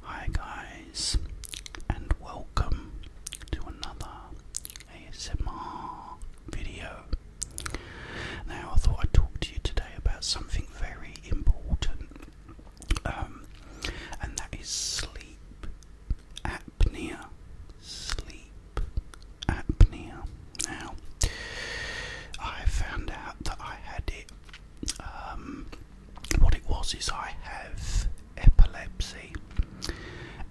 Hi guys, and welcome to another ASMR video. Now, I thought I'd talk to you today about something very important, um, and that is sleep apnea. Sleep apnea. Now, I found out that I had it. Um, what it was is I have epilepsy,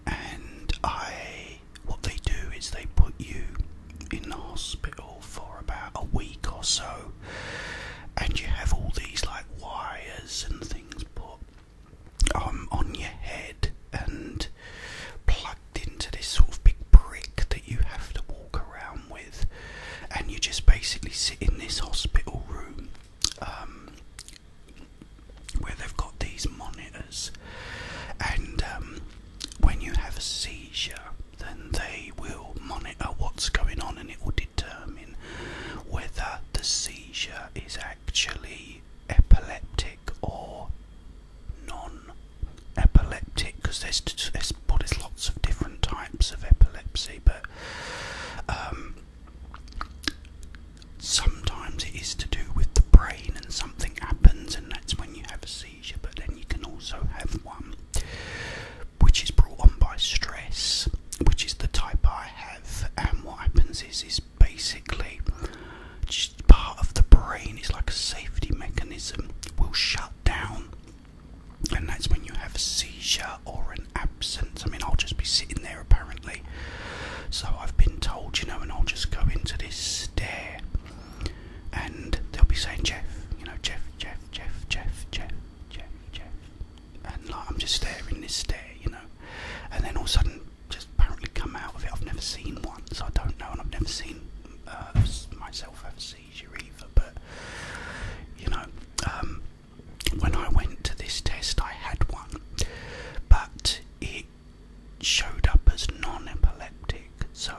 and I what they do is they put you in the hospital for about a week or so, and you have all these like wires and things put um, on your head and plugged into this sort of big brick that you have to walk around with, and you just basically sit in this hospital room. Um, where they've got these monitors, and um, when you have a seizure, then they will monitor what's going on, and it will determine whether the seizure is actually epileptic or non-epileptic, because there's, there's there's lots of different types of epilepsy, but um, sometimes it is to do with the brain and something happens, and that's when you have a seizure, but then you can also have one which is brought on by stress, which is the type I have. And what happens is, is basically just part of the brain is like a safety mechanism will shut down, and that's when you have a seizure or an absence. I mean, I'll just be sitting there apparently so I've been told, you know, and I'll just go into this stare and they'll be saying, Jeff, you know, Jeff, Jeff, Jeff, Jeff, Jeff, Jeff, Jeff. And like, I'm just staring this stare, you know. And then all of a sudden, just apparently come out of it. I've never seen one, so I don't know, and I've never seen uh, myself have a seizure either. But, you know, um, when I went to this test, I had one, but it showed up as non epileptic, so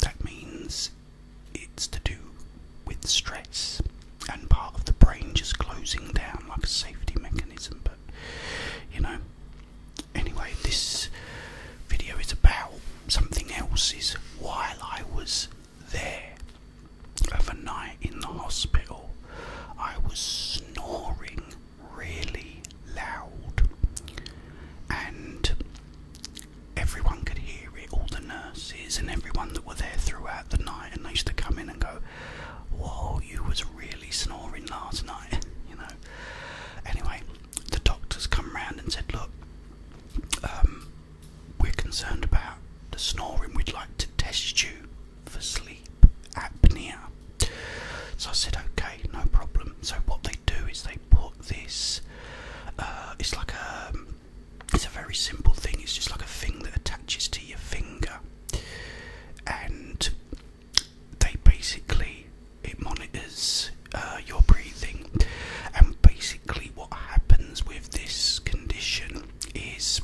that means it's to do with stress and part of the brain just closing down like a safety mechanism. But you know, anyway, this video is about something else. Is while I was there overnight in the hospital, I was snoring really loud, and everyone could hear it. All the nurses and everyone that were there throughout the night, and they used to come in and go, "Whoa, you was really snoring last night," you know. Anyway, the doctors come round and said, "Look, um, we're concerned about the snoring. We'd like to test you for sleep." apnea. So I said, okay, no problem. So what they do is they put this. Uh, it's like a. It's a very simple thing. It's just like a thing that attaches to your finger, and they basically it monitors uh, your breathing. And basically, what happens with this condition is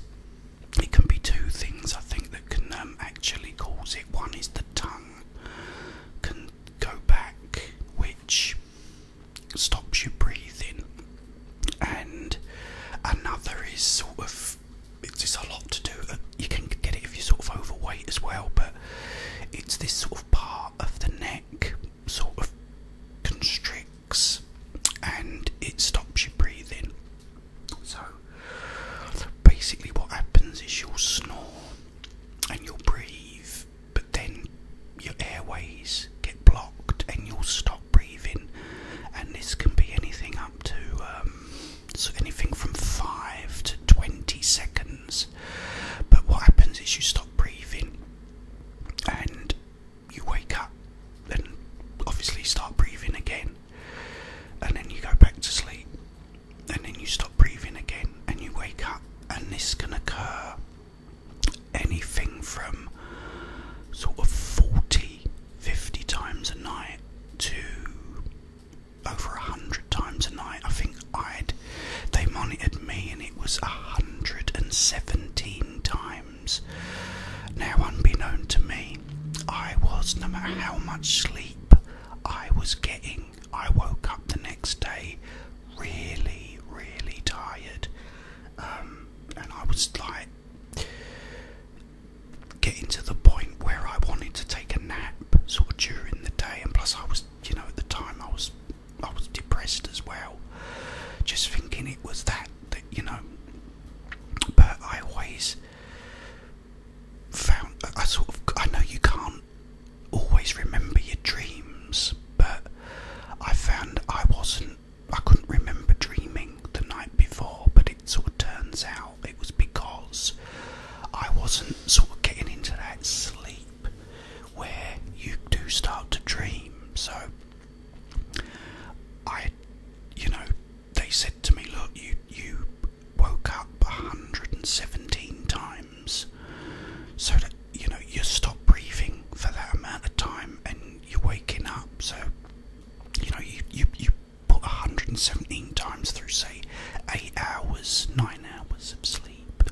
it can be two things I think that can um, actually cause it. One is the tongue can go back, which stops you breathing. And another is sort of it's just a lot to do. Uh, you can get it if you're sort of overweight as well, but it's this sort of part of the neck sort of constricts and it stops you breathing. So, basically, what happens is you'll snore and you'll breathe, but then your airways get blocked and you'll stop breathing. And this can be anything up to um, so anything from five to twenty seconds. But what happens is you stop breathing and you wake up and obviously start breathing again, and then you go back to sleep and then you stop breathing again and you wake up, and this can occur anything from sort of 40, 50 times a night to over 100 times a night. I think I'd they monitored me and it was 117 times. Now, unbeknown to me, I was, no matter how much sleep I was getting. I woke up the next day really, really tired, um, and I was like getting to the point where I wanted to take a nap sort of during the day, and plus I was, you know, at the time I was, I was depressed as well, just thinking it was that that you know. But I always found I sort of I know you can't always remember your dreams, but I found I wasn't I couldn't remember dreaming the night before, but it sort of turns out it was because I wasn't sort of getting into that sleep where you do start to dream. So I, you know, they said to me, look, you you woke up 117 times. So that you know you stop breathing for that amount of time and you're waking up. So you know you you you put 117 times through say eight hours, nine hours of sleep,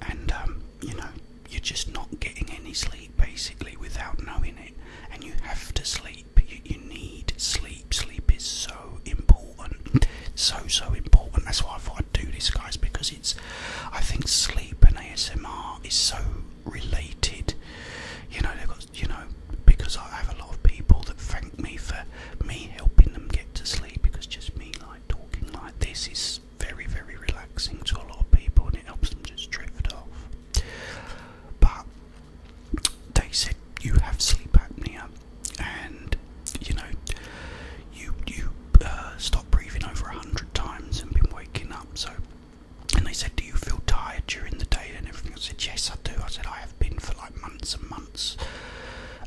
and um, you know you're just not getting any sleep basically without knowing it, and you have to sleep you, need sleep. Sleep is so important, so so important. That's why I thought I'd do this, guys, because it's. I think sleep and ASMR is so related. You know, they've got you know because I have a lot of people that thank me for me helping them get to sleep because just me like talking like this is very very relaxing to a lot of people and it helps them just drift off. But they said you have sleep apnea and you know you you uh, stop breathing over a hundred times and been waking up so and they said do you feel tired during the day and everything I said yes I do I said I have been for like months and months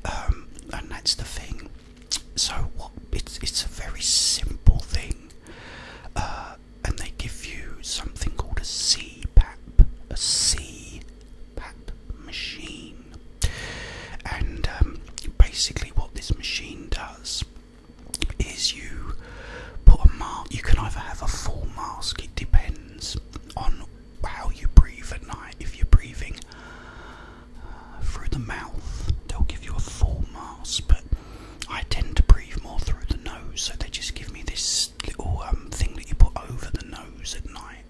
um, and that's the thing so what it's it's a very simple thing uh, and they give you something called a CPAP a C pap machine. And um, basically, what this machine does is you put a mask, you can either have a full mask, it depends on how you breathe at night. If you're breathing uh, through the mouth, they'll give you a full mask, but I tend to breathe more through the nose, so they just give me this little um, thing that you put over the nose at night.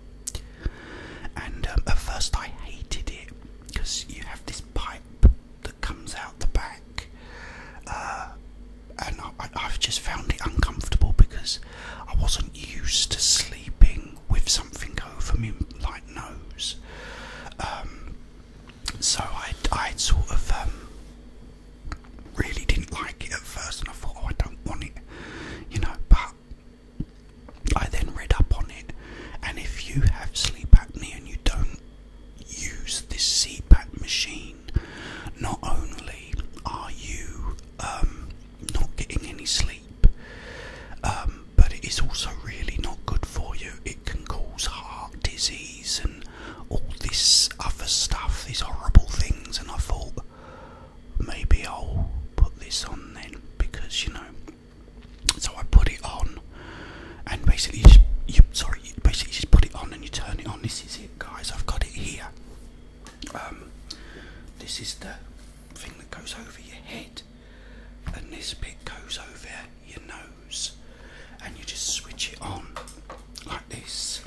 And um, at first I hated it because you have this pipe that comes out the back. Uh, and I, have just found it uncomfortable because I wasn't used to sleeping with something over me like nose. Um, so I, I sort of um, really didn't like it at first, and I thought, oh, I don't want it, you know. But I then read up on it, and if you have sleep apnea and you don't use this CPAP machine, not only are you um, not getting any sleep, um, but it is also really not good for you. It can cause heart disease and all this other stuff, these horrible things. And I thought, maybe I'll put this on then because you know. So I put it on, and basically, you, sorry, basically just put it on and you turn it on. This is it, guys. I've got it here. Um, this is the thing that goes over your head, and this bit goes over your nose, and you just switch it on like this.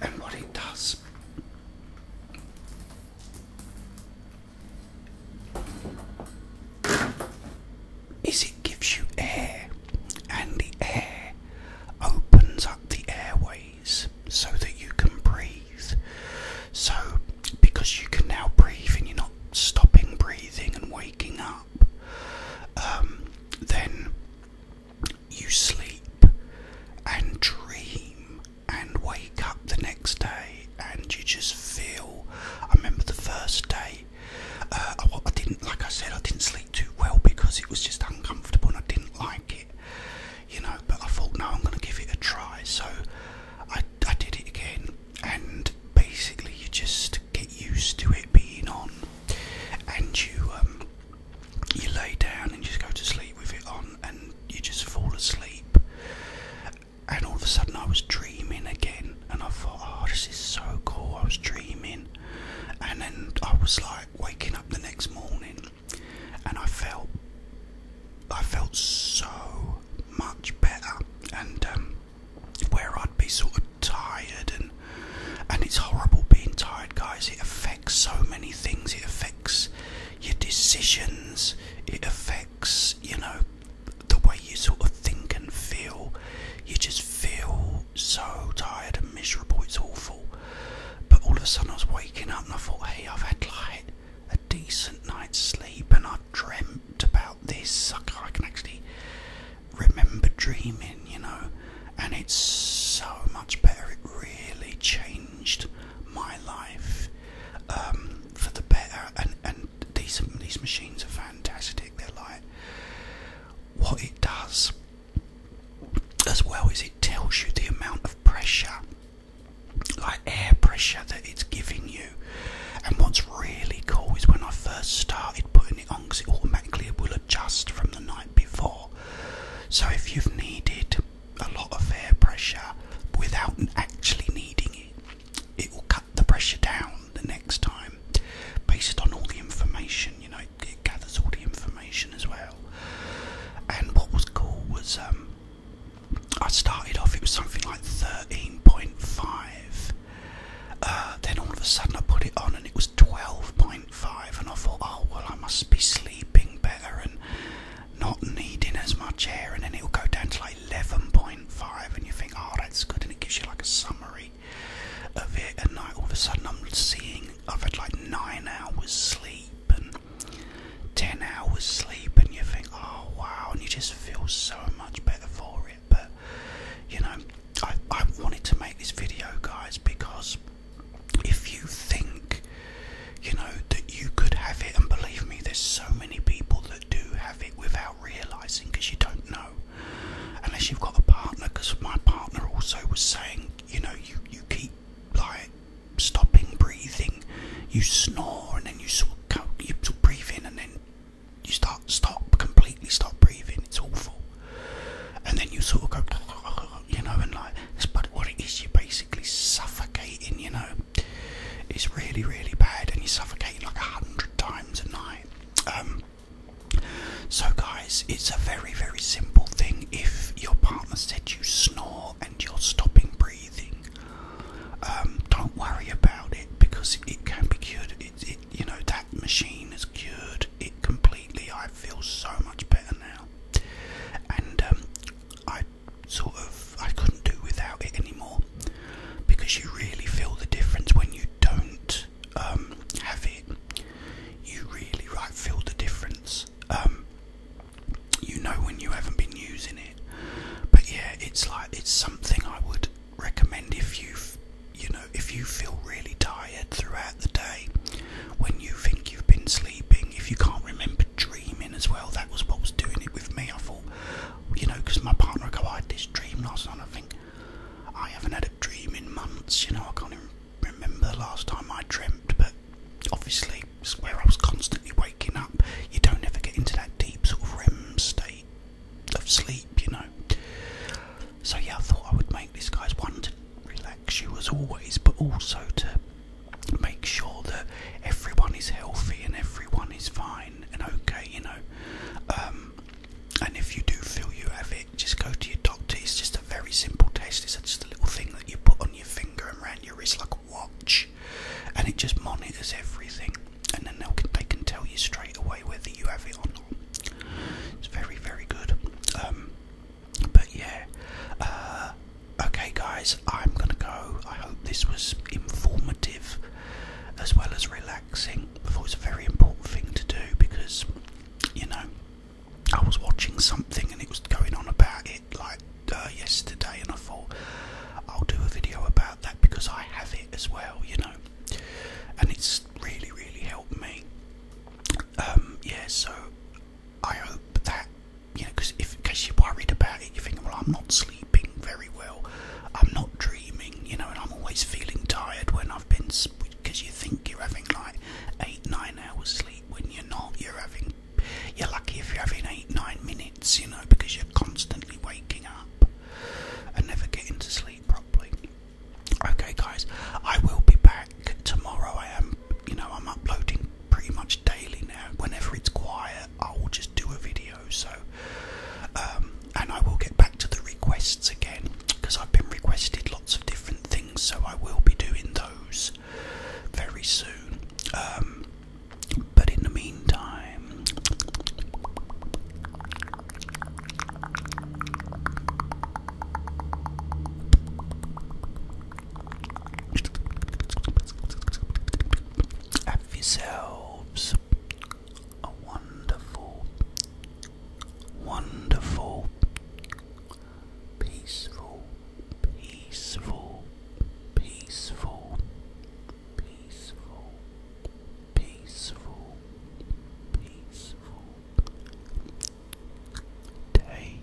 And what it does is it gives you air and the air opens up the airways so that you can breathe so because you can now breathe and you're not stopping breathing and waking up um, then you sleep and dream and wake up the next day and you just feel i remember the first day uh, I, didn't, like I said, I didn't sleep too well because it was just uncomfortable and I didn't like it, you know. But I thought, no, I'm going to give it a try. So I, I did it again, and basically, you just get used to it being on, and you um, you lay down and just go to sleep with it on, and you just fall asleep and all of a sudden I was dreaming again, and I thought, oh, this is so cool. I was dreaming, and then I was like waking up the next morning, and I felt, I felt so much better, and um, where I'd be sort of tired, and and it's horrible being tired, guys. It affects so many things. It affects your decisions. It affects, you know, the way you sort of think and feel, you just feel so tired and miserable, it's awful. But all of a sudden, I was waking up and I thought, hey, I've had like a decent night's sleep and I've dreamt about this. I can actually remember dreaming, you know, and it's so much better. It really changed my life um, for the better, and and these these machines are fantastic. They're like what it does as well as it tells you the amount of pressure, like air pressure that it's giving you. And what's really cool is when I first started putting it on, because it automatically will adjust from the night before. So if you've needed a lot of air pressure without actually needing it, it will the pressure down the next time based on all the information, you know, it gathers all the information as well. And what was cool was um, I started off, it was something like 13.5. Uh, then all of a sudden I put it on and it was 12.5, and I thought, oh, well, I must be sleeping better and not needing as much air, and then it'll go down to like 11.5 and you think oh that's good and it gives you like a summary of it and like all of a sudden I'm seeing I've had like 9 hours sleep and 10 hours sleep and you think oh wow and you just feel so much better for it but you know I, I wanted to make this video guys because if you think you know that you could have it and believe me there's so many people that do have it without realizing because you don't know unless you've got a partner because my partner also was saying you know you you keep like stopping breathing you snore and then you sort of you sort of and then you start stop completely stop breathing it's awful and then you sort of go you know and like but what it is you're basically suffocating you know it's really really bad and you're suffocating like a hundred times a night. Um, so, guys, it's a very, very simple thing. If your partner said you snore and you're stopping breathing, um, don't worry about it because it can be cured. It, you know, that machine has cured it completely. I feel so much better now, and um, I sort of I couldn't do without it anymore because you really feel the difference when you don't um, have it. You really right feel the difference. Um, you know when you haven't been using it, but yeah, it's like it's something I would recommend if you, you know, if you feel really tired throughout the day, when you think you've been sleeping, if you can't remember dreaming as well, that was what was doing it with me. I thought you know, because my partner I had this dream last night. I think I haven't had a dream in months, you know, I can't even remember the last time I dreamt, but obviously, where I was constantly waking up. You don't ever get into that deep sort of REM state of sleep, you know. So, yeah, I thought I would make this guy's one to relax you as always, but also to make sure that everyone is healthy and everyone is fine and okay, you know. Um, and if you do feel you have it, just go to your doctor. It's just a very simple test. It's just a little thing that you put on your finger and around your wrist like a watch, and it just monitors everything. And then they'll, they can tell you straight away whether you have it or not. It's very, very good. Um, but yeah, uh, okay, guys, I'm gonna go. I hope this was informative as well as relaxing relaxing. I thought it was a very important thing to do because, you know, I was watching something and it was going on about it like uh, yesterday, and I thought I'll do a video about that because I have it as well, you know, and it's really, really helped me. Um, yeah, so I hope that, you know, because if in case you're worried about it, you think, well, I'm not sleeping sleeping very well. I'm not dreaming, you know, and I'm always feeling tired when I've been because you think you're having like eight, nine hours sleep when you're not. You're having, you're lucky if you're having eight, nine minutes, you know, because you're constantly waking up and never getting to sleep properly. Okay, guys, I will be back tomorrow. I am, you know, I'm uploading pretty much daily now. Whenever it's quiet, I will just do a video. So, um, and I will get back to the requests again because I've been requested lots of different things, so I will be doing those very soon. Um, but in the meantime, have yourselves a wonderful, wonderful, peaceful, peaceful, peaceful, peaceful, peaceful, peaceful day.